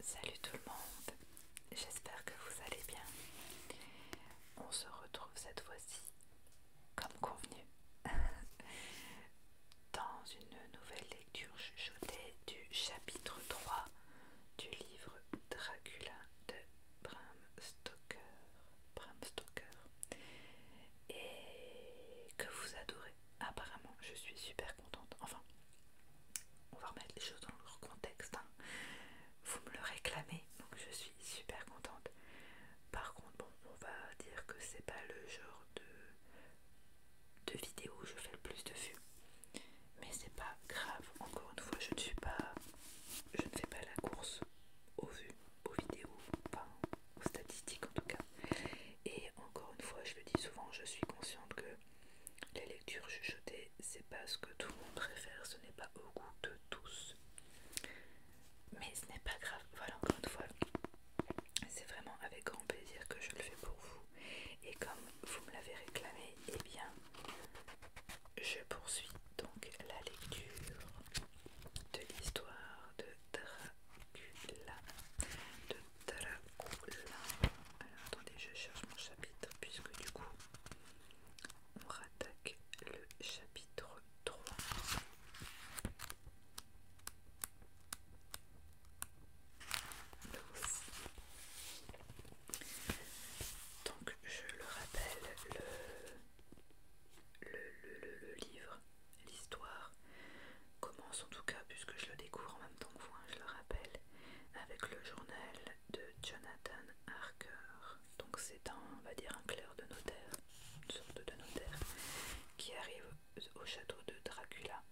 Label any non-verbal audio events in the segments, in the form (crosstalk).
Salut tout le monde, j'espère que vous allez bien. On se retrouve cette fois-ci, comme convenu, (laughs) dans une nouvelle lecture chuchotée du chapitre 3 du livre Dracula de Bram Stoker. Bram Stoker. Et que vous adorez. Apparemment, je suis super contente. Enfin, on va remettre les choses dans leur contexte. Hein. Vous me le réclamez, donc je suis super contente. Par contre, bon, on va dire que c'est pas le genre de, de vidéo où je fais le plus de vues. Mais c'est pas grave, encore une fois, je ne suis pas. Je ne fais pas la course aux vues, aux vidéos, enfin aux statistiques en tout cas. Et encore une fois, je le dis souvent, je suis consciente que les lectures chuchotées, c'est pas ce que tout le monde préfère, ce n'est pas au goût de tous. Mais ce n'est pas grave, voilà encore une fois. C'est vraiment avec grand plaisir que je le fais pour vous. Et comme vous me l'avez réclamé, eh bien, je poursuis donc la lecture de l'histoire de Dracula alors attendez, je cherche mon chapitre puisque du coup on rattaque le chapitre 3. Donc je le rappelle, le, le, le, livre, l'histoire commence en tout cas puisque je le découvre en même temps que vous, hein, je le rappelle, avec le journal de Jonathan Harker. Donc c'est un, on va dire, un clerc de notaire, une sorte de notaire, qui arrive au château de Dracula,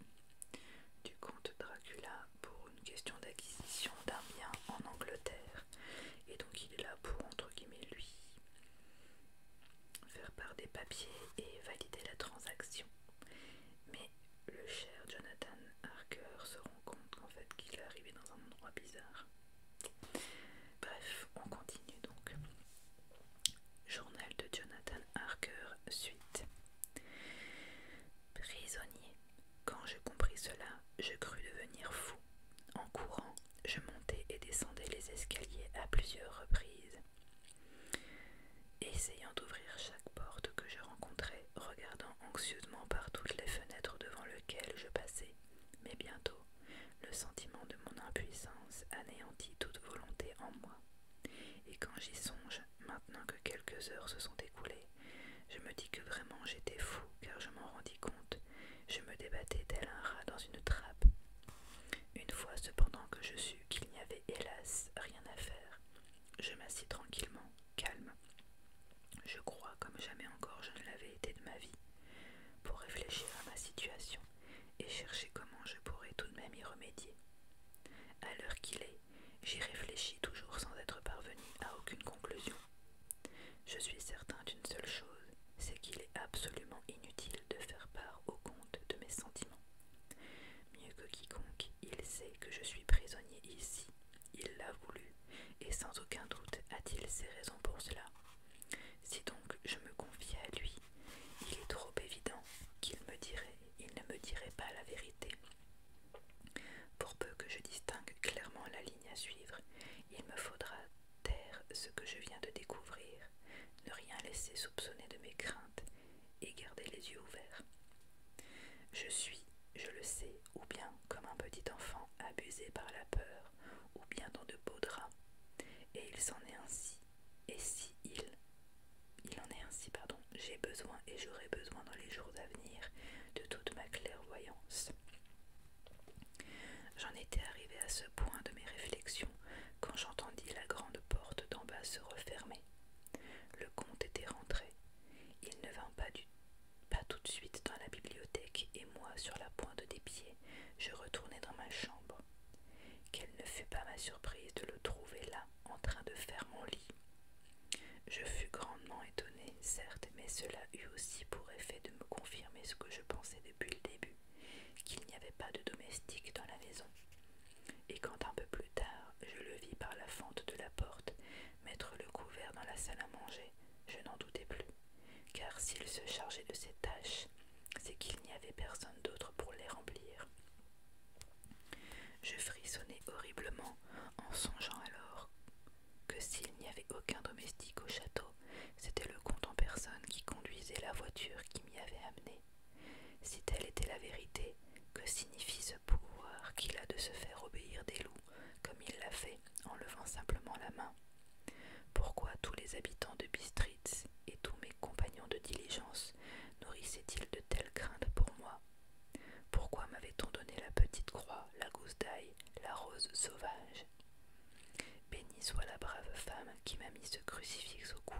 du comte Dracula, pour une question d'acquisition d'un bien en Angleterre. Et donc il est là pour, entre guillemets, lui faire part des papiers et valider la transaction. Mais le cher Jonathan Harker se rend compte qu'en fait qu'il est arrivé dans un endroit bizarre. Bref, on continue donc. Journal de Jonathan Harker, suite. Prisonnier. Quand j'ai compris cela, je crus devenir fou. En courant, je montais et descendais les escaliers à plusieurs reprises essayant d'ouvrir chaque porte que je rencontrais, regardant anxieusement par toutes les fenêtres devant lesquelles je passais. Mais bientôt, le sentiment de mon impuissance anéantit toute volonté en moi. Et quand j'y songe, maintenant que quelques heures se sont écoulées, je me dis que vraiment j'étais fou, car je m'en rendis compte. Je me débattais tel un rat dans une trappe. Une fois cependant que je sus qu'il n'y avait hélas rien à faire, je m'assis tranquillement, calme. Je crois comme jamais encore je ne l'avais été de ma vie, pour réfléchir à ma situation et chercher comment je pourrais tout de même y remédier. À l'heure qu'il est, j'y réfléchis toujours sans être parvenu à aucune conclusion. Je suis certain d'une seule chose, c'est qu'il est absolument inutile de faire part au compte de mes sentiments. Mieux que quiconque, il sait que je suis prisonnier ici. Il l'a voulu, et sans aucun doute a-t-il ses raisons pour cela. Si donc je me confie à lui, il est trop évident qu'il me dirait, il ne me dirait pas la vérité. Pour peu que je distingue clairement la ligne à suivre, il me faudra taire ce que je viens de découvrir, ne rien laisser soupçonner de mes craintes, et garder les yeux ouverts. Je suis, je le sais, ou bien comme un petit enfant abusé par la peur, ou bien dans de beaux draps. Et il s'en est ainsi, et si il, il en est ainsi, pardon, j'ai besoin et j'aurai besoin dans les jours à venir de toute ma clairvoyance. J'en étais arrivé à ce point de mes réflexions quand j'entendis la grande porte d'en bas se refermer. Le comte était rentré, il ne vint pas, tout de suite dans la bibliothèque, et moi, sur la pointe des pieds, je retournai dans ma chambre. Quelle ne fut pas ma surprise de le trouver là, en train de faire mon lit. Je fus grandement étonné, certes, mais cela eut aussi pour effet de me confirmer ce que je pensais depuis le début, qu'il n'y avait pas de domestique dans la maison. Et quand un peu plus tard je le vis par la fente de la porte mettre le couvert dans la salle à manger, je n'en doutais plus, car s'il se chargeait de ces tâches, c'est qu'il n'y avait personne d'autre pour les remplir. Je frissonnais horriblement en songeant alors que s'il n'y avait aucun domestique au château, c'était le comte en personne qui conduisait la voiture qui m'y avait amené. Si telle était la vérité, que signifie ce pouvoir qu'il a de se faire obéir des loups, comme il l'a fait en levant simplement la main Pourquoi tous les habitants de Bistritz et tous mes compagnons de diligence nourrissaient-ils de telles craintes pour moi Pourquoi m'avait-on donné la petite croix, la gousse d'ail, la rose sauvage Bénie soit la brave femme qui m'a mis ce crucifix au cou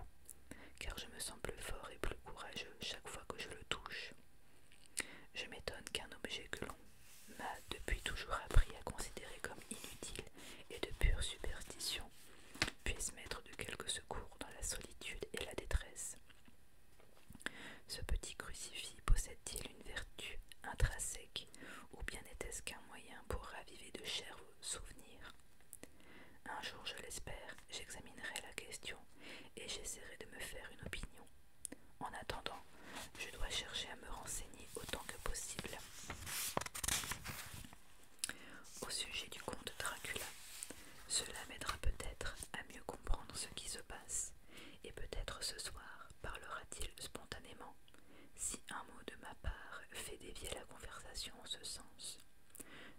car je me sens plus fort et plus courageux chaque fois que je le touche. Je m'étonne qu'un objet que l'on m'a depuis toujours appris à considérer comme inutile et de pure superstition puisse mettre de quelques secours dans la solitude et la détresse. Ce petit crucifix possède-t-il une vertu intrinsèque ou bien n'était-ce qu'un moyen pour raviver de chers souvenirs Un jour, je l'espère, j'examinerai la question et j'essaierai de me faire une opinion. En attendant, je dois chercher à me renseigner autant que possible au sujet du comte Dracula. Cela m'aidera peut-être à mieux comprendre ce qui se passe, et peut-être ce soir parlera-t-il spontanément. Si un mot de ma part fait dévier la conversation en ce sens,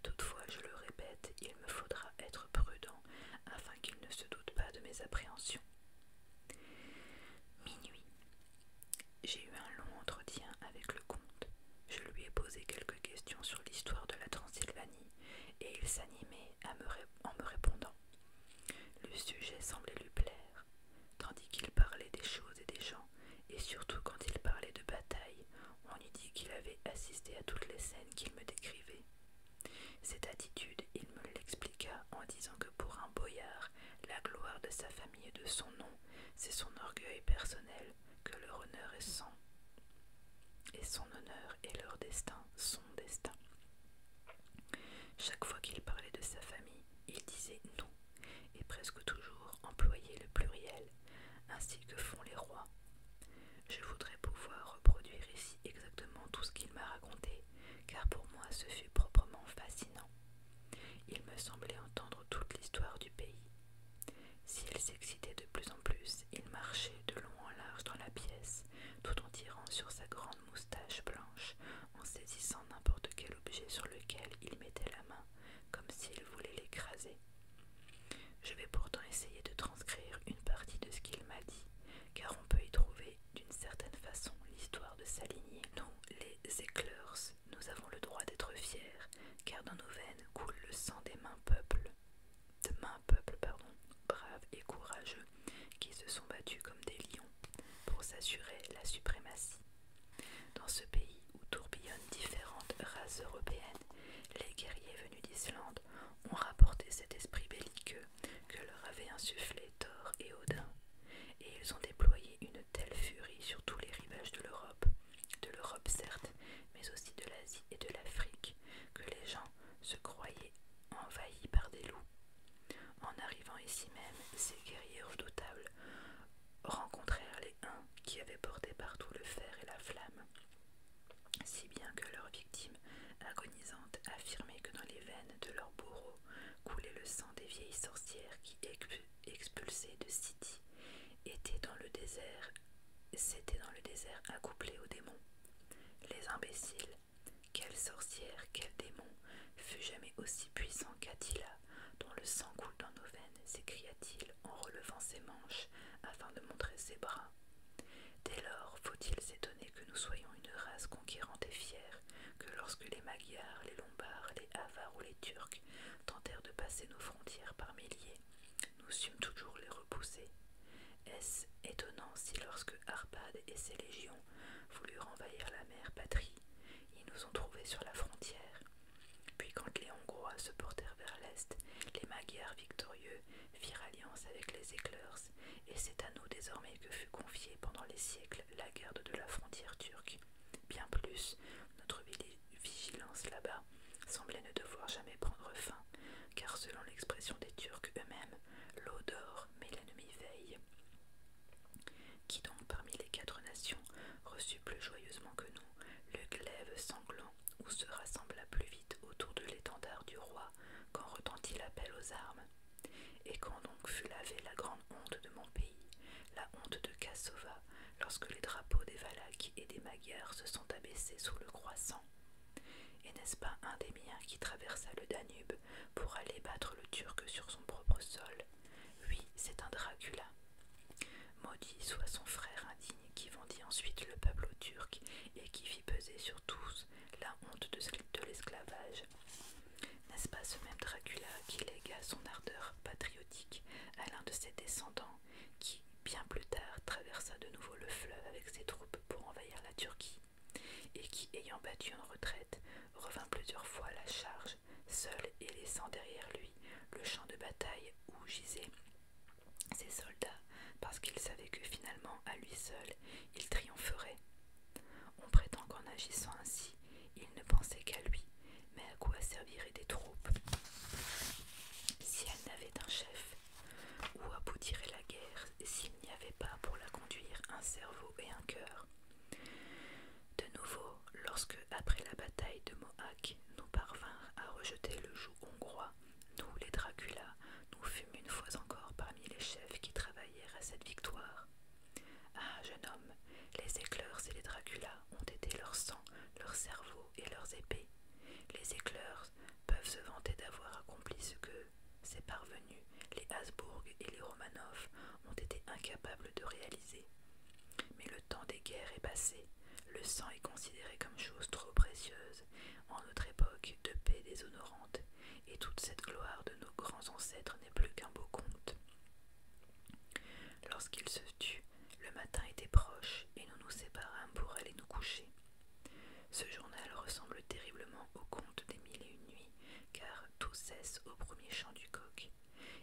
Toutefois, je le répète, il me faudra être prudent afin qu'il ne se doute pas de mes appréhensions. Minuit. J'ai eu un long entretien avec le comte. Je lui ai posé quelques questions sur l'histoire de la Transylvanie et il s'animait en me répondant. Le sujet semblait lui plaire, tandis qu'il parlait des choses et des gens, et surtout quand il parlait de bataille, on eût dit qu'il avait assisté à toutes les scènes qu'il me décrivait. Cette attitude, il me l'expliqua en disant que pour un boyard, la gloire de sa famille et de son nom, c'est son orgueil personnel, que leur honneur est son. Et son honneur est leur destin, son destin. Chaque fois qu'il parlait de sa famille, il disait nous, et presque toujours employait le pluriel ainsi que font les rois. Je voudrais pouvoir reproduire ici exactement tout ce qu'il m'a raconté, car pour moi ce fut proprement fascinant. Il me semblait entendre toute l'histoire du pays. S'il s'excitait de plus en plus, il marchait de long en large dans la pièce, tout en tirant sur sa grande moustache blanche, en saisissant n'importe quel objet sur lequel il mettait la main, comme s'il voulait l'écraser. Je vais pourtant essayer de transcrire une partie de ce qu'il m'a dit, car on peut y trouver d'une certaine façon l'histoire de sa lignée. Nous, les Écleurs, nous avons le droit d'être fiers, car dans nos veines coule le sang des mains peuples, de mains peuples, pardon, braves et courageux, qui se sont battus comme des lions pour s'assurer la suprématie. Dans ce pays où tourbillonnent différentes races européennes, les guerriers venus d'Islande ont rapporté cet esprit belliqueux que leur avaient insufflé Thor et Odin, et ils ont déployé une telle furie sur tous les rivages de l'Europe, de l'Europe certes, mais aussi de l'Asie et de l'Afrique, que les gens se croyaient envahis par des loups. En arrivant ici même, ces guerriers redoutables rencontrèrent les Huns qui avaient porté partout le fer et la flamme, si bien que leurs victimes agonisantes affirmaient que dans les veines de leurs bourreaux coulait le sang des vieilles sorcières qui, expulsées de City, étaient dans le désert, s'étaient dans le désert accouplées aux démons. Les imbéciles, quelle sorcière, quel démon fut jamais aussi puissant qu'Attila, dont le sang coule dans nos veines, s'écria-t-il en relevant ses manches afin de montrer ses bras Dès lors, faut-il s'étonner que nous soyons une race conquérante et fière, que lorsque les Magyars, les Lombards, les Avars ou les Turcs tentèrent de passer nos frontières par milliers, nous sûmes toujours les repousser Est-ce étonnant si lorsque Arpad et ses légions voulurent envahir la mère patrie, ils nous ont trouvés sur la frontière Puis quand les Hongrois se portèrent vers l'est, les Magyars victorieux firent alliance avec les Éclairs, et c'est à nous désormais que fut confiée pendant les siècles la garde de la frontière turque. Bien plus, notre vigilance là-bas semblait ne devoir jamais prendre fin, car selon l'expression des Turcs eux-mêmes, l'eau dort, mais l'ennemi veille. Qui donc parmi les quatre nations reçut plus joyeusement que nous le glaive sanglant où se rassembla plus autour de l'étendard du roi quand retentit l'appel aux armes. Et quand donc fut lavée la grande honte de mon pays, la honte de Cassova, lorsque les drapeaux des Valaques et des Magyars se sont abaissés sous le croissant. Et n'est-ce pas un des miens qui traversa le Danube pour aller battre le Turc sur son propre sol Oui, c'est un Dracula. Maudit soit son frère qui vendit ensuite le peuple aux Turcs et qui fit peser sur tous la honte de l'esclavage. N'est-ce pas ce même Dracula qui légua son ardeur patriotique à l'un de ses descendants qui, bien plus tard, traversa de nouveau le fleuve avec ses troupes pour envahir la Turquie et qui, ayant battu en retraite, revint plusieurs fois à la charge, seul et laissant derrière lui le champ de bataille où gisait ces soldats, parce qu'ils savaient que finalement, à lui seul, il triompherait. On prétend qu'en agissant ainsi, il ne pensait qu'à lui, mais à quoi serviraient des troupes si elles n'avaient un chef Où aboutirait la guerre s'il n'y avait pas pour la conduire un cerveau et un cœur de nouveau, lorsque, après la bataille de Mohawk, nous parvinrent à rejeter le joug hongrois, nous, les Dracula, nous fûmes une fois encore parmi les chefs qui travaillèrent à cette victoire. Ah, jeune homme, les éclairs et les Draculas ont été leur sang, leur cerveau et leurs épées. Les éclairs peuvent se vanter d'avoir accompli ce que ces parvenus, les Habsbourg et les Romanov, ont été incapables de réaliser. Mais le temps des guerres est passé, le sang est considéré comme chose trop précieuse en notre époque de paix déshonorante, et toute cette gloire de nos grands ancêtres n'est plus qu'un beau conte. Lorsqu'il se tut, le matin était proche, et nous nous séparâmes pour aller nous coucher. Ce journal ressemble terriblement au conte des mille et une nuits, car tout cesse au premier chant du coq,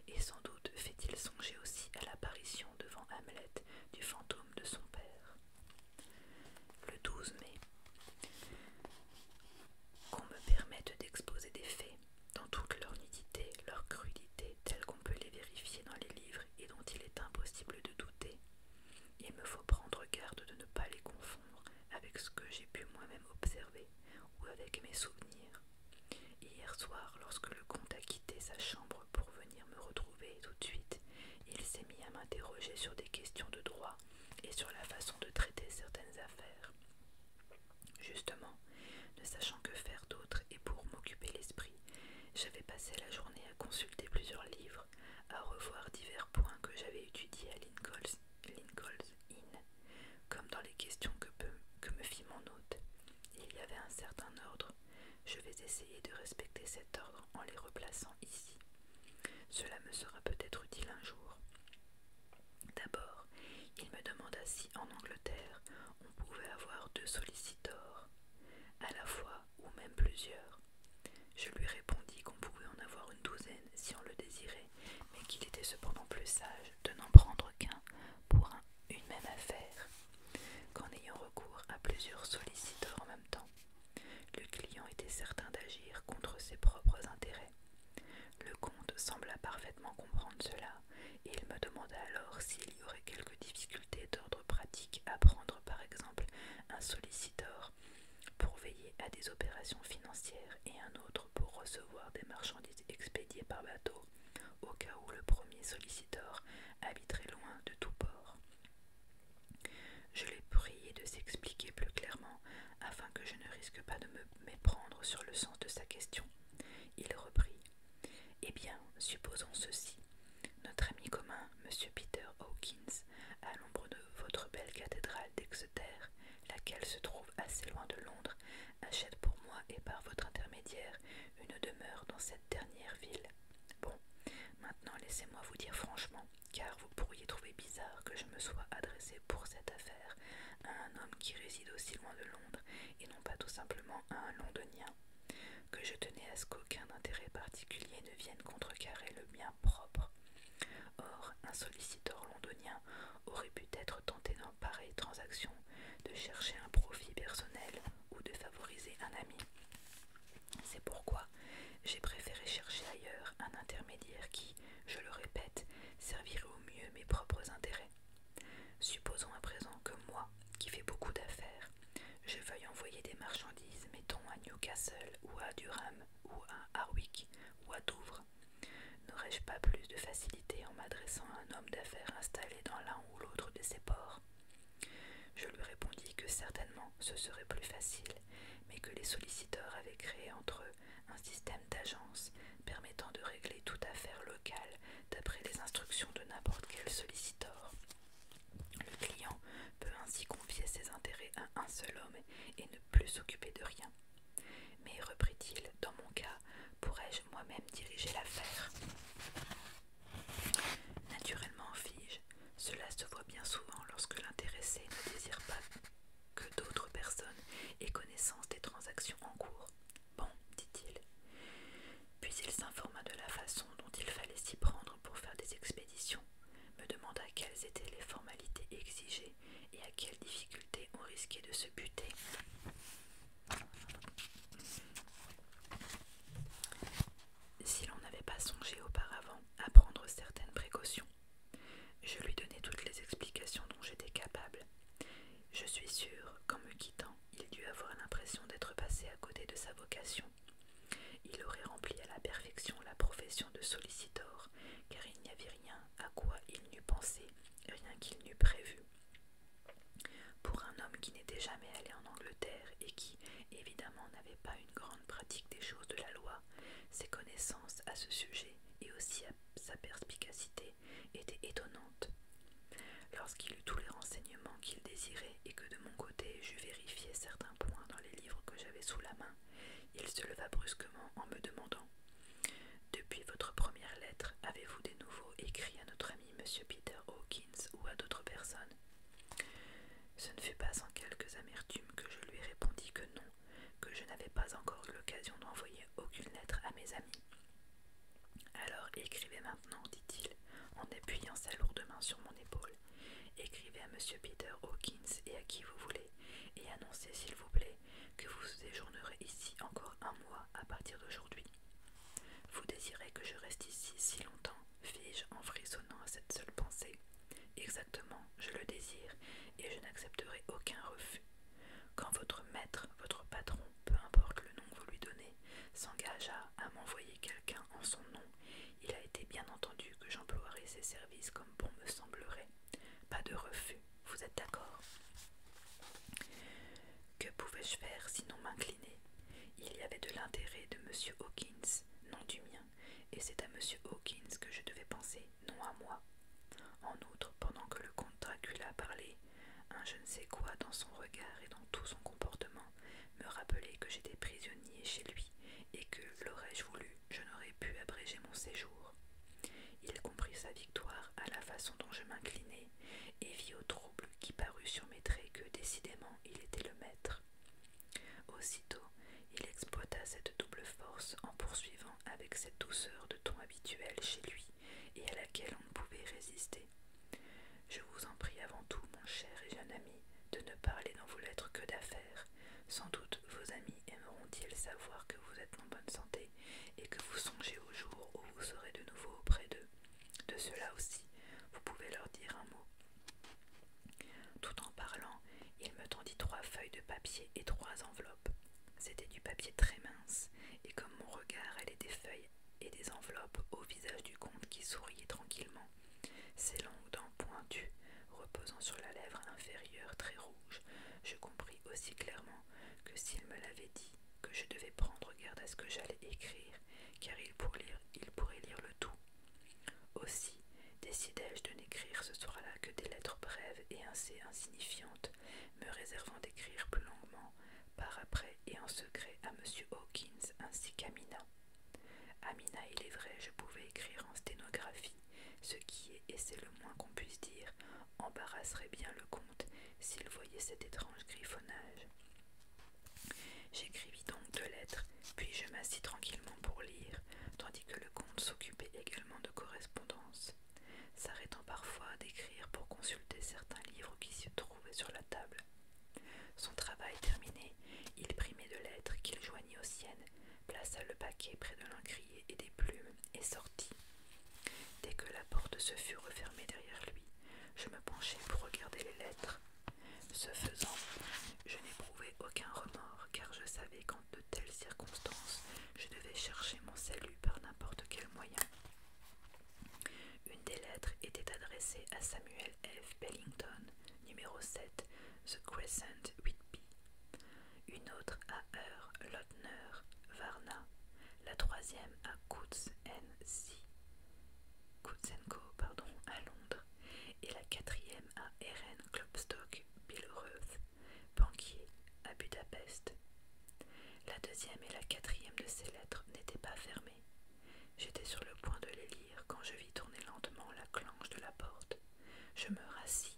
et sans doute fait-il songer aussi à l'apparition devant Hamlet du fantôme de son père. Le 12 mai, qu'on me permette d'exposer des faits dans toute leur nudité, leur crudité, telles qu'on peut les vérifier dans les livres et dont il est impossible de douter. Il me faut prendre garde de ne pas les confondre avec ce que j'ai pu moi-même observer ou avec mes souvenirs. Hier soir, lorsque le comte sa chambre pour venir me retrouver tout de suite, il s'est mis à m'interroger sur des questions de droit et sur la façon de traiter certaines affaires. Justement, ne sachant que faire d'autre et pour m'occuper l'esprit, j'avais passé la journée à consulter plusieurs livres, à revoir divers points que j'avais étudiés à Lincoln's, Inn, comme dans les questions que me fit mon hôte. Il y avait un certain ordre, je vais essayer de respecter cet ordre en les replaçant ici. Cela me sera peut-être utile un jour. D'abord, il me demanda si en Angleterre on pouvait avoir deux sollicitors, à la fois ou même plusieurs. Je lui répondis qu'on pouvait en avoir une douzaine si on le désirait, mais qu'il était cependant plus sage de n'en prendre qu'un pour une même affaire qu'en ayant recours à plusieurs solliciteurs en même temps, le client était certain d'agir contre ses propres intérêts. Le comte sembla parfaitement comprendre cela, et il me demanda alors s'il y aurait quelques difficultés d'ordre pratique à prendre par exemple un solliciteur pour veiller à des opérations financières et un autre pour recevoir des marchandises expédiées par bateau, au cas où le premier solliciteur habiterait loin de tout port. Je l'ai prié de s'expliquer plus clairement afin que je ne risque pas de me méprendre sur le sens de sa question. Il reprit. Eh bien, supposons ceci. Notre ami commun, M. Peter Hawkins, à l'ombre de votre belle cathédrale d'Exeter, laquelle se trouve assez loin de Londres, achète pour moi et par votre intermédiaire une demeure dans cette dernière ville. Bon, maintenant laissez-moi vous dire franchement, car vous pourriez trouver bizarre que je me sois adressé pour cette affaire à un homme qui réside aussi loin de Londres, et non pas tout simplement à un londonien, que je tenais à ce qu'aucun intérêt particulier ne vienne contrecarrer le mien propre. Or, un solliciteur londonien aurait pu être tenté dans pareille transaction de chercher un profit personnel ou de favoriser un ami. C'est pourquoi j'ai préféré chercher ailleurs un intermédiaire qui, je le répète, servirait au mieux mes propres intérêts. Supposons à présent que moi, qui fais beaucoup d'affaires, je veuille envoyer des marchandises, mettons à Newcastle ou à Durham ou à Harwick ou à Douvres. N'aurais-je pas plus de facilité en m'adressant à un homme d'affaires installé dans l'un ou l'autre de ces ports je lui répondis que certainement ce serait plus facile, mais que les solliciteurs avaient créé entre eux un système d'agence permettant de régler toute affaire locale d'après les instructions de n'importe quel solliciteur. Le client peut ainsi confier ses intérêts à un seul homme et ne plus s'occuper de rien. Mais, reprit-il, dans mon cas, pourrais-je moi-même diriger l'affaire Naturellement, fis cela se voit bien souvent lorsque l'intéressé ne désire pas que d'autres personnes aient connaissance des transactions en cours. Bon, dit-il. Puis il s'informa de la façon dont il fallait s'y prendre pour faire des expéditions, me demanda quelles étaient les formalités exigées et à quelles difficultés on risquait de se buter. Si l'on n'avait pas songé auparavant à prendre certaines précautions, je lui donnai toutes les explications dont j'étais capable. Je suis sûre qu'en me quittant, il dut avoir l'impression d'être passé à côté de sa vocation. Il aurait rempli à la perfection la profession de solliciteur, car il n'y avait rien à quoi il n'eût pensé, rien qu'il n'eût prévu. Pour un homme qui n'était jamais allé en Angleterre et qui, évidemment, n'avait pas une grande pratique des choses de la loi, ses connaissances à ce sujet et aussi à sa perspicacité étaient étonnantes. Lorsqu'il eut tous les renseignements qu'il désirait et que de mon côté j'eus vérifié certains points dans les livres que j'avais sous la main, il se leva brusquement en me demandant Depuis votre première lettre, avez-vous des nouveaux écrits à notre ami Monsieur Peter Hawkins ou à d'autres personnes ce ne fut pas sans quelques amertumes que je lui répondis que non, que je n'avais pas encore eu l'occasion d'envoyer aucune lettre à mes amis. Alors écrivez maintenant, dit-il, en appuyant sa lourde main sur mon épaule. Écrivez à monsieur Peter Hawkins et à qui vous voulez, et annoncez, s'il vous plaît, que vous séjournerez ici encore un mois à partir d'aujourd'hui. Vous désirez que je reste ici si longtemps, fis-je en frissonnant à cette seule pensée. Exactement, je le désire, et je n'accepterai aucun refus. Quand votre maître, votre patron, peu importe le nom que vous lui donnez, s'engagea à m'envoyer quelqu'un en son nom, il a été bien entendu que j'emploierai ses services comme bon me semblerait. Pas de refus, vous êtes d'accord que pouvais-je faire sinon m'incliner Il y avait de l'intérêt de M. Hawkins, non du mien, et c'est à M. Hawkins que je devais penser, non à moi. En outre, pendant que le comte Dracula parlait, un je ne sais quoi dans son regard et dans tout son comportement me rappelait que j'étais prisonnier chez lui et que, l'aurais-je voulu, je n'aurais pu abréger mon séjour. Il comprit sa victoire à la façon dont je m'inclinais et vit au trouble qui parut sur mes traits que, décidément, il était le maître. Aussitôt, il exploita cette double force en poursuivant avec cette douceur de ton habituel chez lui et à laquelle on ne pouvait résister. Je vous en prie avant tout, mon cher et jeune ami, de ne parler dans vos lettres que d'affaires. Sans doute vos amis aimeront-ils savoir que vous êtes en bonne santé et que vous songez au jour où vous serez de nouveau auprès d'eux. De cela aussi, vous pouvez leur dire un mot. Tout en parlant, il me tendit trois feuilles de papier et trois enveloppes. C'était du papier très mince, et comme mon regard allait des feuilles et des enveloppes au visage du comte qui souriait tranquillement, ses longues dents pointues reposant sur la lèvre inférieure très rouge, je compris aussi clairement que s'il me l'avait dit que je devais prendre garde à ce que j'allais écrire, car il, pourrait lire le tout. Aussi décidai-je de n'écrire ce soir-là que des lettres brèves et assez insignifiantes, me réservant d'écrire plus longuement, par après et en secret, à M. Hawkins ainsi qu'à À Amina, il est vrai, je pouvais écrire en sténographie, ce qui est, et c'est le moins qu'on puisse dire, embarrasserait bien le comte s'il voyait cet étrange griffonnage. J'écrivis donc deux lettres, puis je m'assis tranquillement pour lire, tandis que le comte s'occupait également de correspondance, s'arrêtant parfois d'écrire pour consulter certains livres qui se trouvaient sur la table. Son travail terminé, il prit mes deux lettres qu'il joignit aux siennes, plaça le paquet près de l'encrier et des plumes, et sortit. Dès que la porte se fut refermée derrière lui, je me penchai pour regarder les lettres. Ce faisant, je n'éprouvais aucun remords, car je savais qu'en de telles circonstances, je devais chercher mon salut par n'importe quel moyen. Une des lettres était adressée à Samuel F. Bellington, numéro 7, The Crescent Whitby Une autre à Herr Lotner, Varna. La troisième à Kutz N. C. Kutsenko pardon, à Londres et la quatrième à Eren Klopstock Billerue, banquier à Budapest. La deuxième et la quatrième de ces lettres n'étaient pas fermées. J'étais sur le point de les lire quand je vis tourner lentement la clanche de la porte. Je me rassis,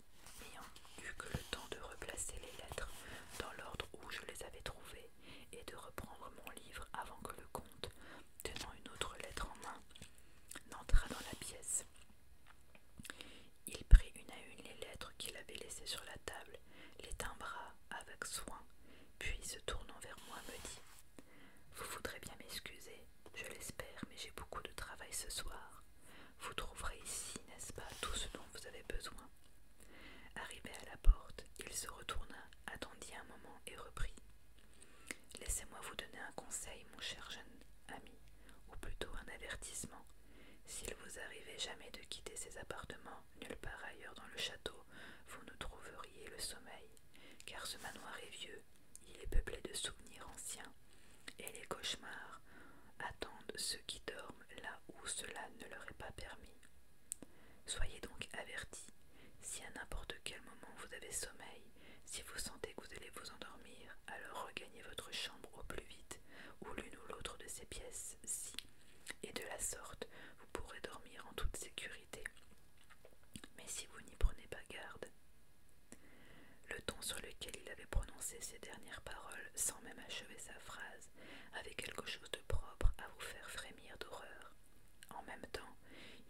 ayant eu que le temps de replacer les lettres dans l'ordre où je les avais trouvées et de reprendre mon livre avant que le comte, tenant une autre lettre en main, N'entra dans la pièce. Il prit une à une les lettres qu'il avait laissées sur la table, les timbra avec soin, puis se tournant vers moi me dit Vous voudrez bien m'excuser, je l'espère, mais j'ai beaucoup de travail ce soir. Vous trouverez ici, n'est-ce pas, tout ce dont vous avez besoin. Arrivé à la porte, il se retourna attendit un moment et reprit. Laissez-moi vous donner un conseil, mon cher jeune ami, ou plutôt un avertissement. S'il vous arrivait jamais de quitter ces appartements, nulle part ailleurs dans le château, vous ne trouveriez le sommeil, car ce manoir est vieux, il est peuplé de souvenirs anciens, et les cauchemars attendent ceux qui dorment là où cela ne leur est pas permis. Soyez donc avertis. Si à n'importe quel moment vous avez sommeil, si vous sentez que vous allez vous endormir, alors regagnez votre chambre au plus vite, ou l'une ou l'autre de ces pièces, si, et de la sorte, vous pourrez dormir en toute sécurité. Mais si vous n'y prenez pas garde. Le ton sur lequel il avait prononcé ces dernières paroles, sans même achever sa phrase, avait quelque chose de propre à vous faire frémir d'horreur. En même temps,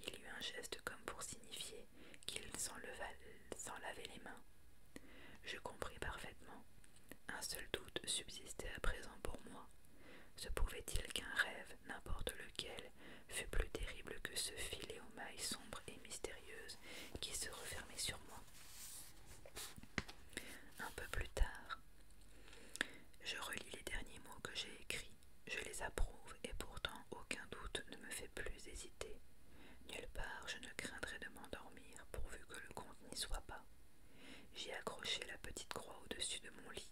il eut un geste comme pour signifier qu'il s'en lavait les mains. Je compris parfaitement. Un seul doute subsistait à présent pour moi. Se pouvait-il qu'un rêve, n'importe lequel, fût plus terrible que ce filet aux mailles sombres et mystérieuses qui se refermait sur moi Un peu plus tard, je relis les derniers mots que j'ai écrits, je les approuve et pourtant aucun doute ne me fait plus hésiter. Nulle part je ne craindrai de m'endormir pourvu que le comte n'y soit pas. J'ai accroché la petite croix au-dessus de mon lit.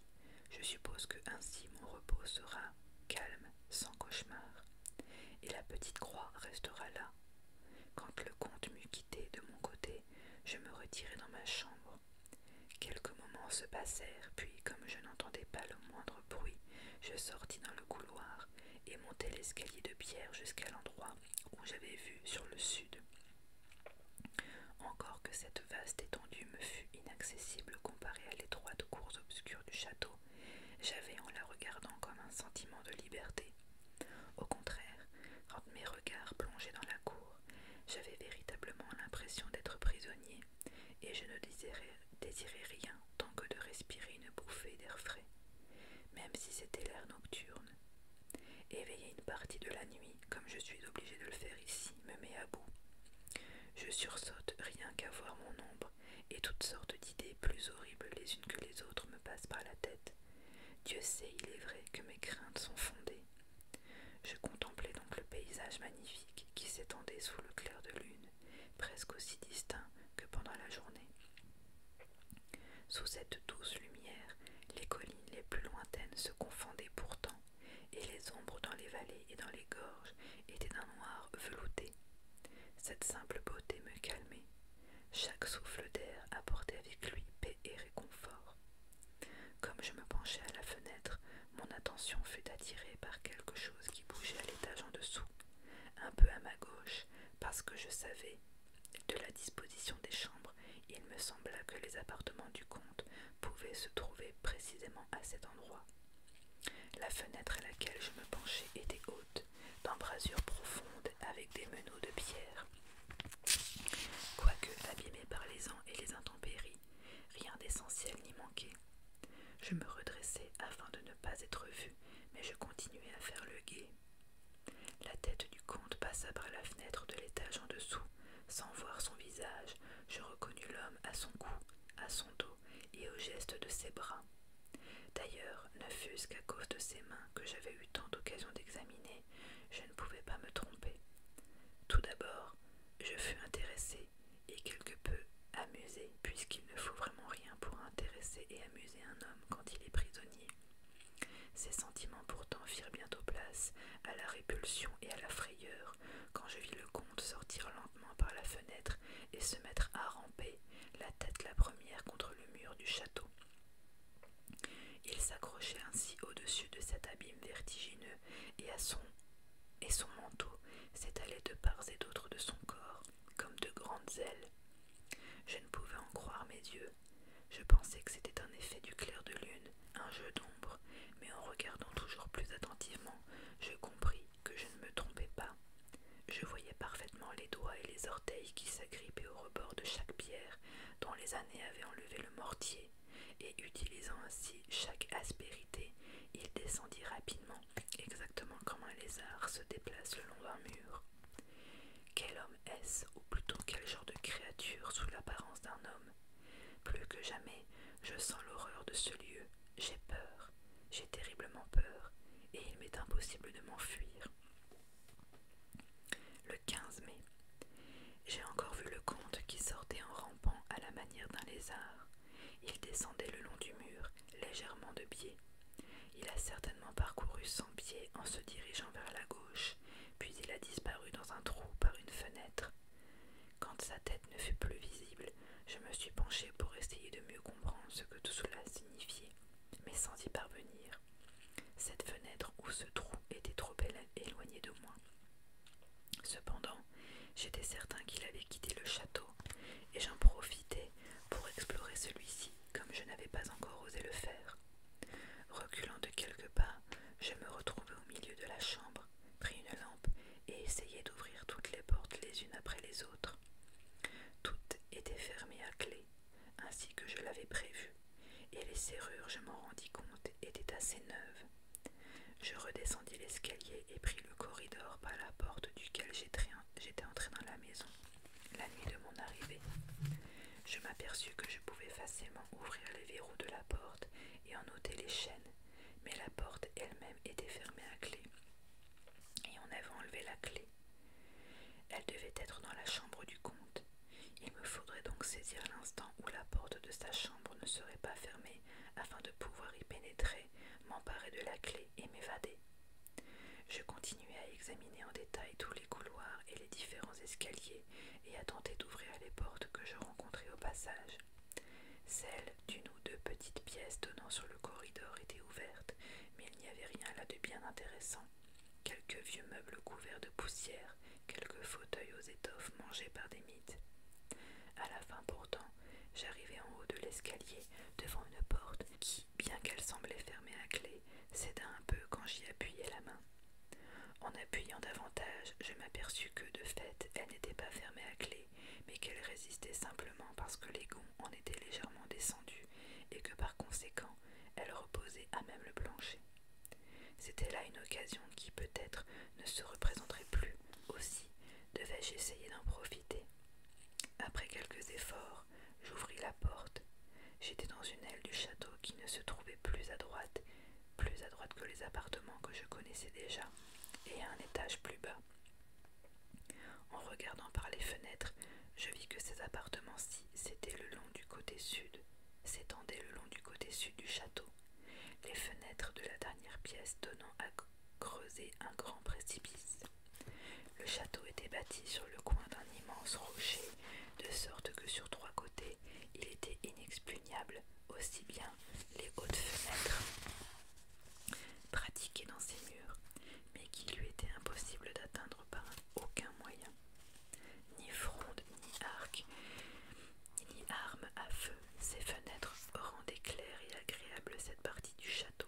Je suppose que ainsi mon repos sera calme, sans cauchemar. Et la petite croix restera là. Quand le comte m'eut quitté de mon côté, je me retirai dans ma chambre Quelques moments se passèrent, puis, comme je n'entendais pas le moindre bruit, je sortis dans le couloir et montai l'escalier de pierre jusqu'à l'endroit où j'avais vu sur le sud. Encore que cette vaste étendue me fût inaccessible comparée à l'étroite course obscure du château, j'avais en la regardant comme un sentiment de liberté. Au contraire, quand mes regards plongés dans la cour, j'avais véritablement l'impression d'être prisonnier, et je ne désirais, rien tant que de respirer une bouffée d'air frais, même si c'était l'air nocturne. Éveiller une partie de la nuit, comme je suis obligé de le faire ici, me met à bout. Je sursaute rien qu'à voir mon ombre, et toutes sortes d'idées plus horribles les unes que les autres me passent par la tête. Dieu sait, il est vrai, que mes craintes sont fondées, je contemplais donc le paysage magnifique qui s'étendait sous le clair de lune, presque aussi distinct que pendant la journée. Sous cette douce lumière, les collines les plus lointaines se confondaient pourtant, et les ombres dans les vallées et dans les gorges étaient d'un noir velouté. Cette simple beauté me calmait. Chaque souffle d'air apportait avec lui paix et réconfort. Comme je me penchais à la fenêtre, mon attention fut attirée par quelque chose qui bougeait à l'étage en dessous, un peu à ma gauche, parce que je savais, de la disposition des chambres, il me sembla que les appartements du comte pouvaient se trouver précisément à cet endroit. La fenêtre à laquelle je me penchais était haute, d'embrasure profonde, avec des meneaux de pierre. Quoique abîmée par les ans et les intempéries, rien d'essentiel n'y manquait. Je me redressai afin de ne pas être vu, mais je continuai à faire le guet. La tête du comte passa par la fenêtre de l'étage en dessous. Sans voir son visage, je reconnus l'homme à son cou, à son dos et au geste de ses bras. D'ailleurs, ne fût-ce qu'à cause de ses mains que j'avais eu tant d'occasion d'examiner, je ne pouvais pas me tromper. Tout d'abord, je fus intéressé et quelque peu amusé, puisqu'il ne faut vraiment rien pour intéresser et amuser un homme quand il est prisonnier. Ces sentiments pourtant firent bientôt place à la répulsion et à la frayeur quand je vis le comte sortir lentement par la fenêtre et se mettre à ramper, la tête la première contre le mur du château. Il s'accrochait ainsi au-dessus de cet abîme vertigineux et, son, et son manteau s'étalait de part et d'autre de son corps comme de grandes ailes. Je ne pouvais en croire mes yeux. Je pensais que c'était un effet du clair de lune, un jeu d'ombre, mais en regardant toujours plus attentivement, je compris que je ne me trompais pas. Je voyais parfaitement les doigts et les orteils qui s'agrippaient au rebord de chaque pierre, dont les années avaient enlevé le mortier, et utilisant ainsi chaque aspérité, il descendit rapidement, exactement comme un lézard se déplace le long d'un mur. Quel homme est-ce, ou plutôt quel genre de créature sous l'apparence d'un homme Plus que jamais, je sens l'horreur de ce lieu, j'ai peur, j'ai terriblement peur, et il m'est impossible de m'enfuir le 15 mai. J'ai encore vu le comte qui sortait en rampant à la manière d'un lézard. Il descendait le long du mur, légèrement de biais. Il a certainement parcouru cent pieds en se dirigeant vers la gauche, puis il a disparu dans un trou par une fenêtre. Quand sa tête ne fut plus visible, je me suis penché pour essayer de mieux comprendre ce que tout cela signifiait, mais sans y parvenir. Cette fenêtre ou ce trou était trop éloigné de moi. Cependant, j'étais certain qu'il avait quitté le château, et j'en profitais pour explorer celui-ci comme je n'avais pas encore osé le faire. Reculant de quelques pas, je me retrouvai au milieu de la chambre, pris une lampe et essayai d'ouvrir toutes les portes les unes après les autres. Toutes étaient fermées à clé, ainsi que je l'avais prévu, et les serrures, je m'en rendis compte, étaient assez neuves, je redescendis l'escalier et pris le corridor par la porte duquel j'étais entré dans la maison la nuit de mon arrivée. Je m'aperçus que je pouvais facilement ouvrir les verrous de la porte et en ôter les chaînes, mais la porte elle-même était fermée à clé et on avait enlevé la clé. Elle devait être dans la chambre du comte. Il me faudrait donc saisir l'instant où la porte de sa chambre ne serait pas fermée afin de pouvoir y pénétrer, m'emparer de la clé et m'évader. Je continuai à examiner en détail tous les couloirs et les différents escaliers et à tenter d'ouvrir les portes que je rencontrais au passage. Celles d'une ou deux petites pièces donnant sur le corridor étaient ouvertes mais il n'y avait rien là de bien intéressant. Quelques vieux meubles couverts de poussière, quelques fauteuils aux étoffes mangés par des mites. À la fin pourtant, j'arrivai en haut de l'escalier devant une porte qui, bien qu'elle semblait fermée à clef, céda un peu quand j'y appuyais la main. En appuyant davantage, je m'aperçus que, de fait, elle n'était pas fermée à clef, mais qu'elle résistait simplement parce que les gonds en étaient légèrement descendus et que par conséquent, elle reposait à même le plancher. C'était là une occasion qui peut-être ne se représenterait plus. Aussi devais-je essayer d'en profiter. Après quelques efforts, j'ouvris la porte. J'étais dans une aile du château qui ne se trouvait plus à droite, plus à droite que les appartements que je connaissais déjà, et à un étage plus bas. En regardant par les fenêtres, je vis que ces appartements-ci s'étaient le long du côté sud, s'étendaient le long du côté sud du château, les fenêtres de la dernière pièce donnant à creuser un grand précipice. Le château était bâti sur le coin d'un immense rocher, de sorte que sur trois côtés il était inexpugnable, aussi bien les hautes fenêtres pratiquées dans ses murs, mais qui lui était impossible d'atteindre par aucun moyen ni fronde, ni arc, ni arme à feu. Ces fenêtres rendaient claire et agréable cette partie du château.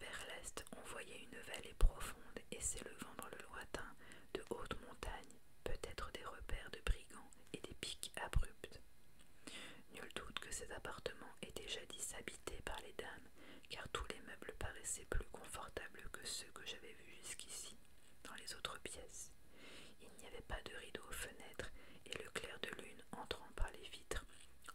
Vers l'est, on voyait une vallée profonde et s'élevant dans le lointain de hautes montagnes, peut-être des repères de brigands et des pics abrupts Nul doute que cet appartement était jadis habité par les dames, car tous les meubles paraissaient plus confortables que ceux que j'avais vus jusqu'ici. Dans les autres pièces, il n'y avait pas de rideaux aux fenêtres et le clair de lune entrant par les vitres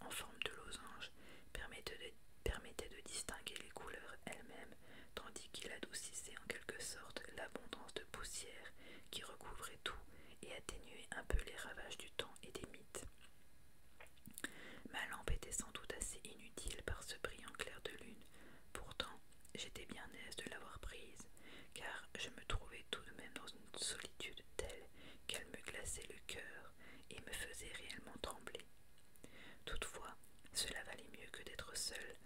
en forme de losange permettait de, permettait de distinguer les couleurs elles-mêmes tandis qu'il adoucissait en quelque sorte l'abondance de poussière qui recouvrait tout et atténuait un peu les ravages du temps et des mythes. Ma lampe était sans doute assez inutile par ce brillant clair de lune. Pourtant, J'étais bien aise de l'avoir prise, car je me trouvais tout de même dans une solitude telle qu'elle me glaçait le cœur et me faisait réellement trembler. Toutefois, cela valait mieux que d'être seule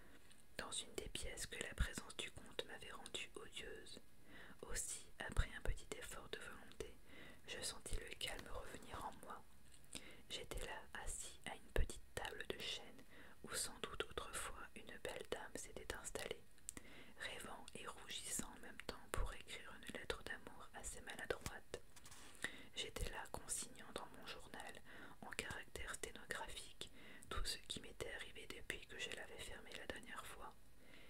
dans une des pièces que la présence du comte m'avait rendue odieuse. Aussi, après un petit effort de volonté, je sentis le calme revenir en moi. J'étais là, assis à une petite table de chêne où sans doute autrefois une belle dame s'était installée, rêvant et rougissant en même temps pour écrire une lettre d'amour assez maladroite. J'étais là consignant dans mon journal, en caractères sténographique tout ce qui m'était arrivé depuis que je l'avais fermé la dernière fois.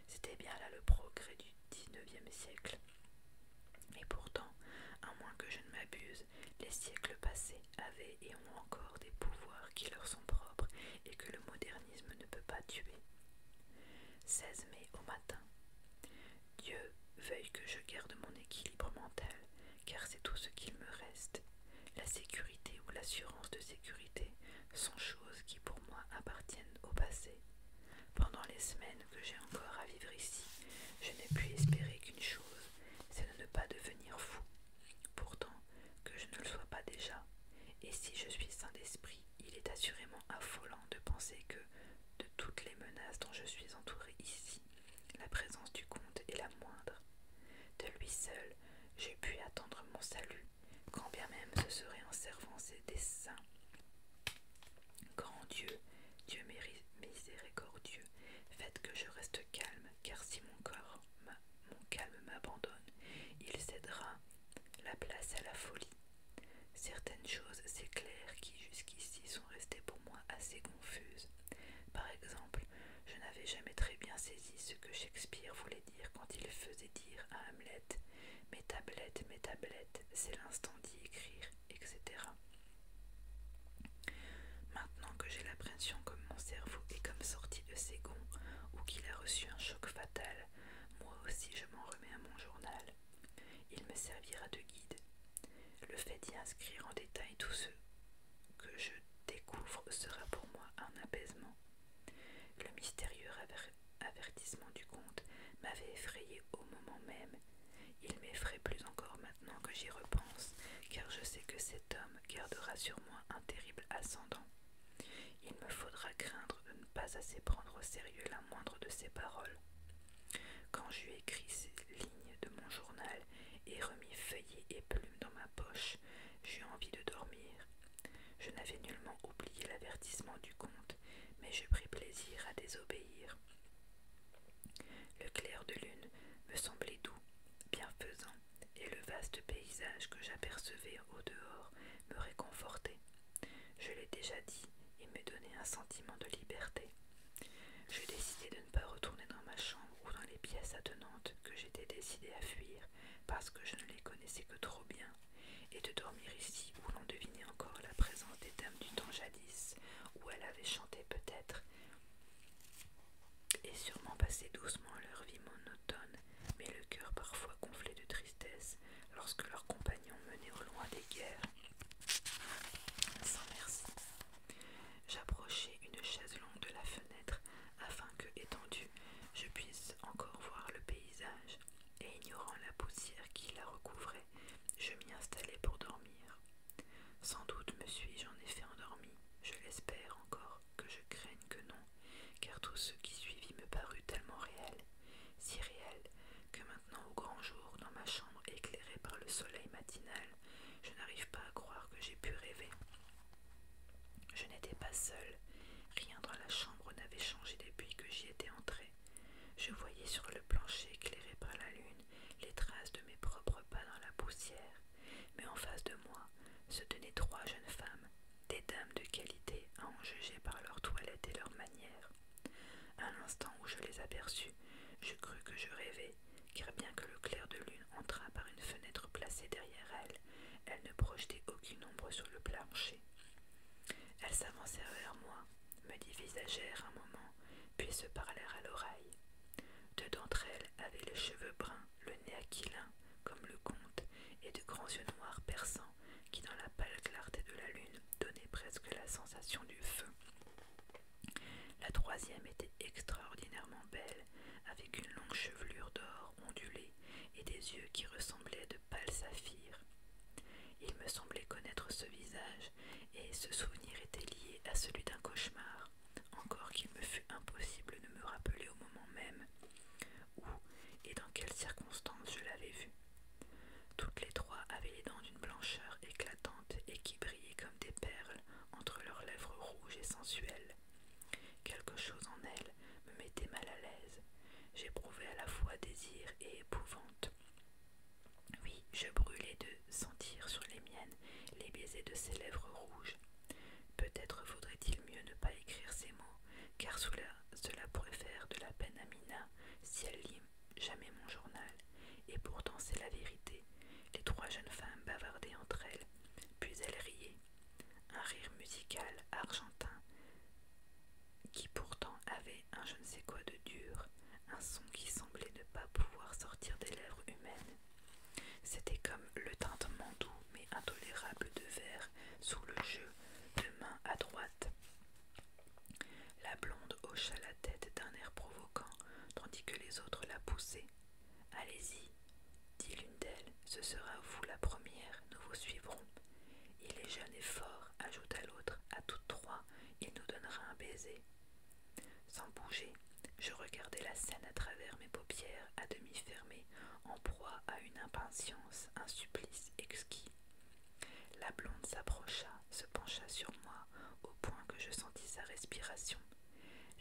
C'était bien là le progrès du 19e siècle. Et pourtant, à moins que je ne m'abuse, les siècles passés avaient et ont encore des pouvoirs qui leur sont propres et que le modernisme ne peut pas tuer. 16 mai au matin. Dieu veuille que je garde mon équilibre mental, car c'est tout ce qu'il me reste. La sécurité ou l'assurance de sécurité sont choses qui pour moi appartiennent au passé. Pendant les semaines que j'ai encore à vivre ici, je n'ai pu espérer qu'une chose, c'est de ne pas devenir fou. Pourtant, que je ne le sois pas déjà, et si je suis saint d'esprit, il est assurément affolant de penser que, de toutes les menaces dont je suis entouré ici, la présence du comte est la moindre. De lui seul, j'ai pu attendre mon salut, quand bien même ce serait en servant ses desseins. Grand Dieu, Dieu miséricordieux, faites que je reste calme, car si mon corps, mon calme m'abandonne, il cédera la place à la folie. Certaines choses, c'est clair, qui jusqu'ici sont restées pour moi assez confuses. Par exemple, je n'avais jamais très bien saisi ce que Shakespeare voulait dire quand il faisait dire à Hamlet Mes tablettes, mes tablettes, c'est l'instant d'y écrire, etc. Maintenant que j'ai l'impression que mon cerveau est comme sorti de ses gonds ou qu'il a reçu un choc fatal, moi aussi je m'en remets à mon journal. Il me servira de guide. Le fait d'y inscrire en détail tout ce que je découvre sera pour moi un apaisement. Le mystérieux avertissement du comte m'avait effrayé au moment même. Il m'effraie plus encore maintenant. Non que j'y repense, car je sais que cet homme gardera sur moi un terrible ascendant. Il me faudra craindre de ne pas assez prendre au sérieux la moindre de ses paroles. Quand j'eus écrit ces lignes de mon journal et remis feuillet et plume dans ma poche, j'eus envie de dormir. Je n'avais nullement oublié l'avertissement du comte, mais je pris plaisir à désobéir. Le clair de lune me semblait doux, bienfaisant, et le vaste paysage que j'apercevais au dehors me réconfortait. Je l'ai déjà dit, il me donnait un sentiment de liberté. Je décidai de ne pas retourner dans ma chambre ou dans les pièces attenantes que j'étais décidée à fuir parce que je ne les connaissais que trop bien, et de dormir ici où l'on devinait encore la présence des dames du temps jadis, où elles avaient chanté peut-être et sûrement passer doucement leur vie monotone, mais le cœur parfois gonflé de tristesse lorsque leurs compagnons menaient au loin des guerres. Sans merci. J'approchai une chaise longue de la fenêtre afin que, étendue, je puisse encore voir le paysage, et ignorant la poussière qui la recouvrait, je m'y installai pour dormir. Sans doute me suis-je en effet endormi, je l'espère encore, que je craigne que non, car tout ce qui suivit me parut tellement réel, si réel, que maintenant au grand jour, dans ma chambre éclairée par le soleil matinal, je n'arrive pas à croire que j'ai pu rêver. Je n'étais pas seule rien dans la chambre n'avait changé depuis que j'y étais entrée Je voyais sur le plancher éclairé par la lune les traces de mes propres pas dans la poussière, mais en face de moi se tenaient trois jeunes femmes, des dames de qualité à en juger par leur toilette et leurs manière. À l'instant où je les aperçus, je crus que je rêvais, car bien que le clair de lune entrât par une fenêtre placée derrière elles, elles ne projetaient aucune ombre sur le plancher. Elles s'avancèrent vers moi, me divisagèrent un moment, puis se parlèrent à l'oreille. Deux d'entre elles avaient les cheveux bruns, le nez aquilin, comme le comte, et de grands yeux noirs perçants qui, dans la pâle clarté de la lune, donnaient presque la sensation du feu. La troisième était extraordinairement belle, avec une longue chevelure d'or ondulée et des yeux qui ressemblaient de pâles saphirs. Il me semblait connaître ce visage, et ce souvenir était lié à celui d'un cauchemar encore qu'il me fût impossible de me rappeler au moment même où et dans quelles circonstances je l'avais vue. Toutes les trois avaient les dents d'une blancheur éclatante et qui brillaient comme des perles entre leurs lèvres rouges et sensuelles. Quelque chose en elles me mettait mal à l'aise. J'éprouvais à la fois désir et épouvante. Oui, je brûlais de sentir sur les miennes les baisers de ses lèvres rouges. Peut-être faudrait il mieux ne pas écrire ces mots, car cela, cela pourrait faire de la peine à Mina si elle lit jamais mon journal. Et pourtant c'est la vérité. Les trois jeunes femmes bavardaient entre elles, puis elles riaient. Un rire musical argentin qui pourtant avait un je ne sais quoi de dur, un son qui semblait ne pas pouvoir sortir des lèvres humaines. C'était comme le tintement doux mais intolérable de verre sous le jeu de main à droite. La blonde hocha la tête d'un air provoquant, tandis que les autres la poussaient. Allez-y, dit l'une d'elles, ce sera vous la première, nous vous suivrons. Il est jeune et fort, ajouta l'autre, à toutes trois, il nous donnera un baiser. Sans bouger, je regardais la scène à travers mes paupières à demi fermées, en proie à une impatience, un supplice exquis. La blonde s'approcha, se pencha sur moi, au point que je sentis sa respiration.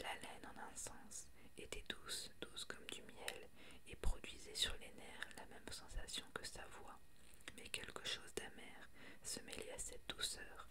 La laine en un sens était douce, douce comme du miel, et produisait sur les nerfs la même sensation que sa voix. Mais quelque chose d'amer se mêlait à cette douceur,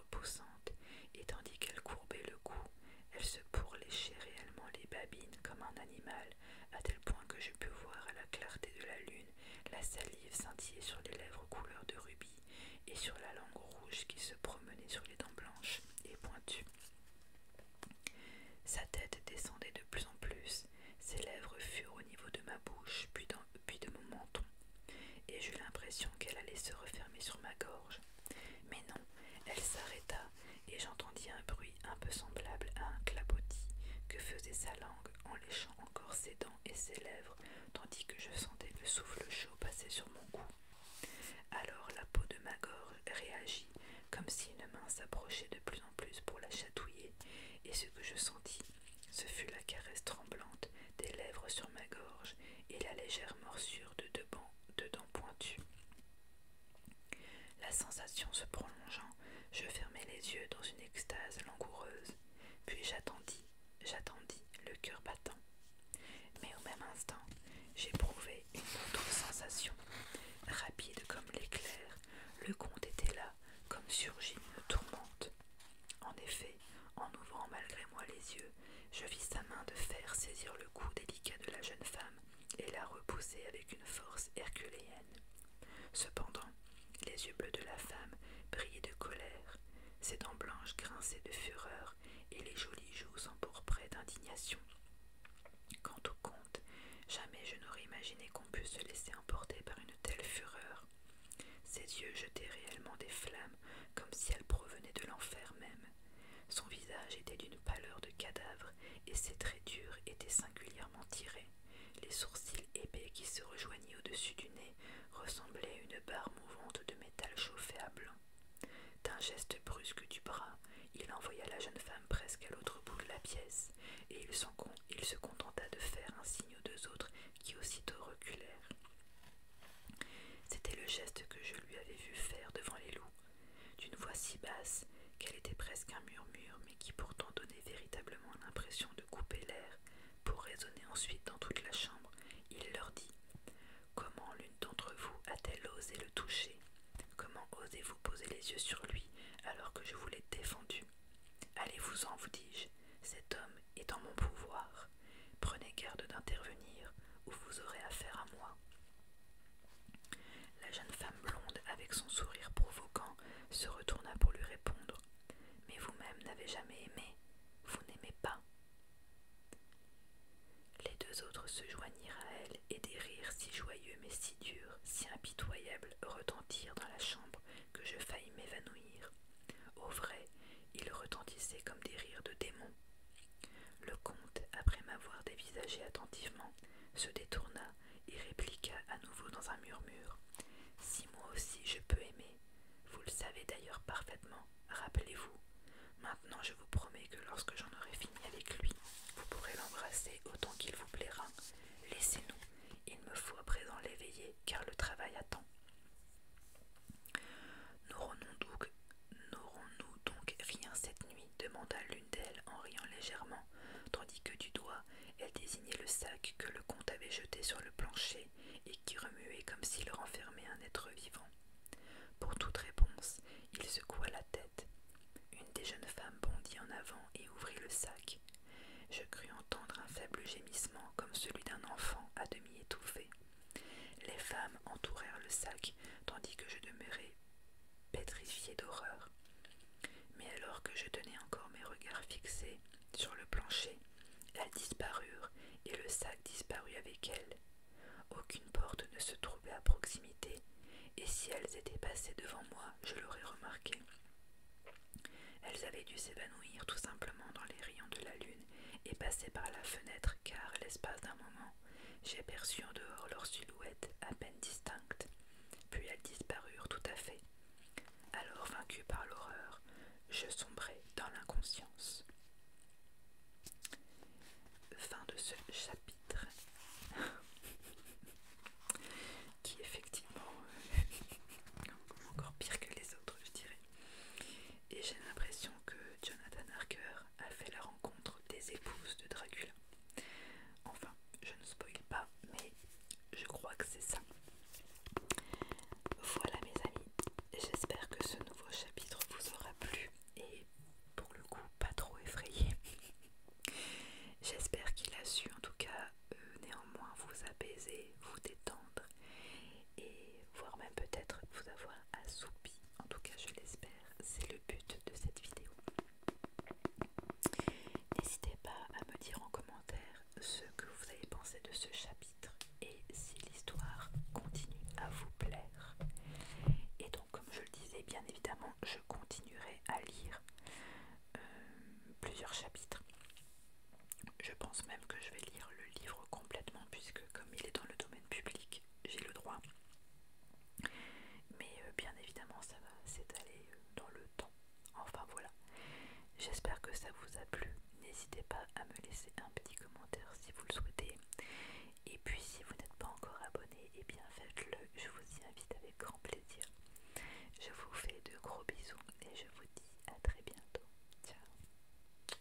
et tandis qu'elle courbait le cou, elle se pourléchait réellement les babines comme un animal, à tel point que je pus voir à la clarté de la lune la salive scintiller sur les lèvres couleur de rubis et sur la langue rouge qui se promenait sur les dents blanches et pointues. Sa tête descendait de plus en plus, ses lèvres furent au niveau de ma bouche, puis de mon menton, et j'eus l'impression qu'elle allait se refermer sur ma gorge. Mais non, elle s'arrêta et j'entendis un bruit un peu semblable à un clapotis que faisait sa langue en léchant encore ses dents et ses lèvres, tandis que je sentais le souffle chaud passer sur mon cou. Alors la peau de ma gorge réagit comme si une main s'approchait de plus en plus pour la chatouiller, et ce que je sentis, ce fut la caresse tremblante des lèvres sur ma gorge et la légère morsure de deux bancs de dents pointues. La sensation se prolongeant, je fermais les yeux dans une extase langoureuse, puis j'attendis, j'attendis, le cœur battant. Mais au même instant, j'éprouvai une autre sensation, rapide comme l'éclair. Le comte était là, comme surgit une tourmente. En effet, en ouvrant malgré moi les yeux, je vis sa main de fer saisir le cou délicat de la jeune femme et la repousser avec une force herculéenne. Cependant, les yeux bleus de la femme brillaient de colère, ses dents blanches grinçaient de fureur et les jolies joues s'empourpraient d'indignation. Quant au comte, jamais je n'aurais imaginé qu'on pût se laisser emporter par une telle fureur. Ses yeux jetaient réellement des flammes comme si elles provenaient de l'enfer même. Son visage était d'une pâleur de cadavre et ses traits durs étaient singulièrement tirés. Les sourcils épais qui se rejoignaient au-dessus du nez ressemblaient à une barre mouvante de métal chauffé à blanc. D'un geste brusque du bras, il envoya la jeune femme presque à l'autre bout de la pièce, et il, se contenta de faire un signe aux deux autres qui aussitôt reculèrent. C'était le geste que je lui avais vu faire devant les loups, d'une voix si basse qu'elle était presque un murmure, mais qui pourtant donnait véritablement l'impression de couper l'air. Pour résonner ensuite dans toute la chambre, il leur dit Comment l'une d'entre vous a-t-elle osé le toucher Comment osez-vous poser les yeux sur lui alors que je vous l'ai défendu Allez-vous-en, vous, dis-je, cet homme est en mon pouvoir. Prenez garde d'intervenir ou vous aurez affaire à moi. La jeune femme blonde, avec son sourire provoquant, se retourna pour lui répondre Mais vous-même n'avez jamais aimé, vous n'aimez pas. Les deux autres se joignirent à elle et des rires si joyeux mais si durs, si impitoyables retentirent dans la chambre que je faillis m'évanouir. Au vrai, il retentissait comme des rires de démon Le comte, après m'avoir dévisagé attentivement, se détourna et répliqua à nouveau dans un murmure. Si moi aussi je peux aimer, vous le savez d'ailleurs parfaitement, rappelez-vous. Maintenant je vous promets que lorsque j'en aurai fini avec lui, vous pourrez l'embrasser autant qu'il vous plaira. Laissez-nous, il me faut à présent l'éveiller, car le travail attend. N'aurons-nous donc, rien cette nuit demanda l'une d'elles en riant légèrement, tandis que du doigt elle désignait le sac que le comte avait jeté sur le plancher et qui remuait comme s'il renfermait un être vivant. Pour toute réponse, il secoua la tête. Une des jeunes femmes bondit en avant et ouvrit le sac. Je crus entendre un faible gémissement comme celui d'un enfant à demi étouffé. Les femmes entourèrent le sac, tandis que je demeurais pétrifié d'horreur. Mais alors que je tenais encore mes regards fixés sur le plancher, elles disparurent et le sac disparut avec elles. Aucune porte ne se trouvait à proximité, et si elles étaient passées devant moi, je l'aurais remarqué. Elles avaient dû s'évanouir tout simplement dans les rayons de la lune et passer par la fenêtre, car, l'espace d'un moment, J'aperçus en dehors leurs silhouette à peine distincte, puis elles disparurent tout à fait. Alors, vaincu par l'horreur, je sombrai dans l'inconscience. Fin de ce chapitre, (laughs) qui effectivement euh, (laughs) encore pire que les autres, je dirais. Et j'ai l'impression que Jonathan Harker a fait la rencontre des épouses de Dracula. Enfin, je ne spoil pas, mais je crois que c'est ça. Voilà mes amis, j'espère que ce nouveau chapitre vous aura plu et pour le coup pas trop effrayé. (laughs) j'espère qu'il a su en tout cas euh, néanmoins vous apaiser, vous détendre et voire même peut-être vous avoir assoupi, en tout cas je l'espère, c'est le but de cette vidéo. N'hésitez pas à me dire en commentaire ce que vous avez pensé de ce chapitre et si l'histoire continue à vous plaire. Et donc comme je le disais, bien évidemment, je continuerai à lire euh, plusieurs chapitres. Je pense même que je vais lire le livre complètement puisque comme il est dans le domaine public, j'ai le droit. Mais euh, bien évidemment, ça va s'étaler euh, dans le temps. Enfin voilà. J'espère que ça vous a plu. N'hésitez pas à me laisser un petit commentaire si vous le souhaitez. Et puis si vous n'êtes pas encore abonné, Et eh bien faites-le. Je vous y invite avec grand plaisir. Je vous fais de gros bisous et je vous dis à très bientôt. Ciao.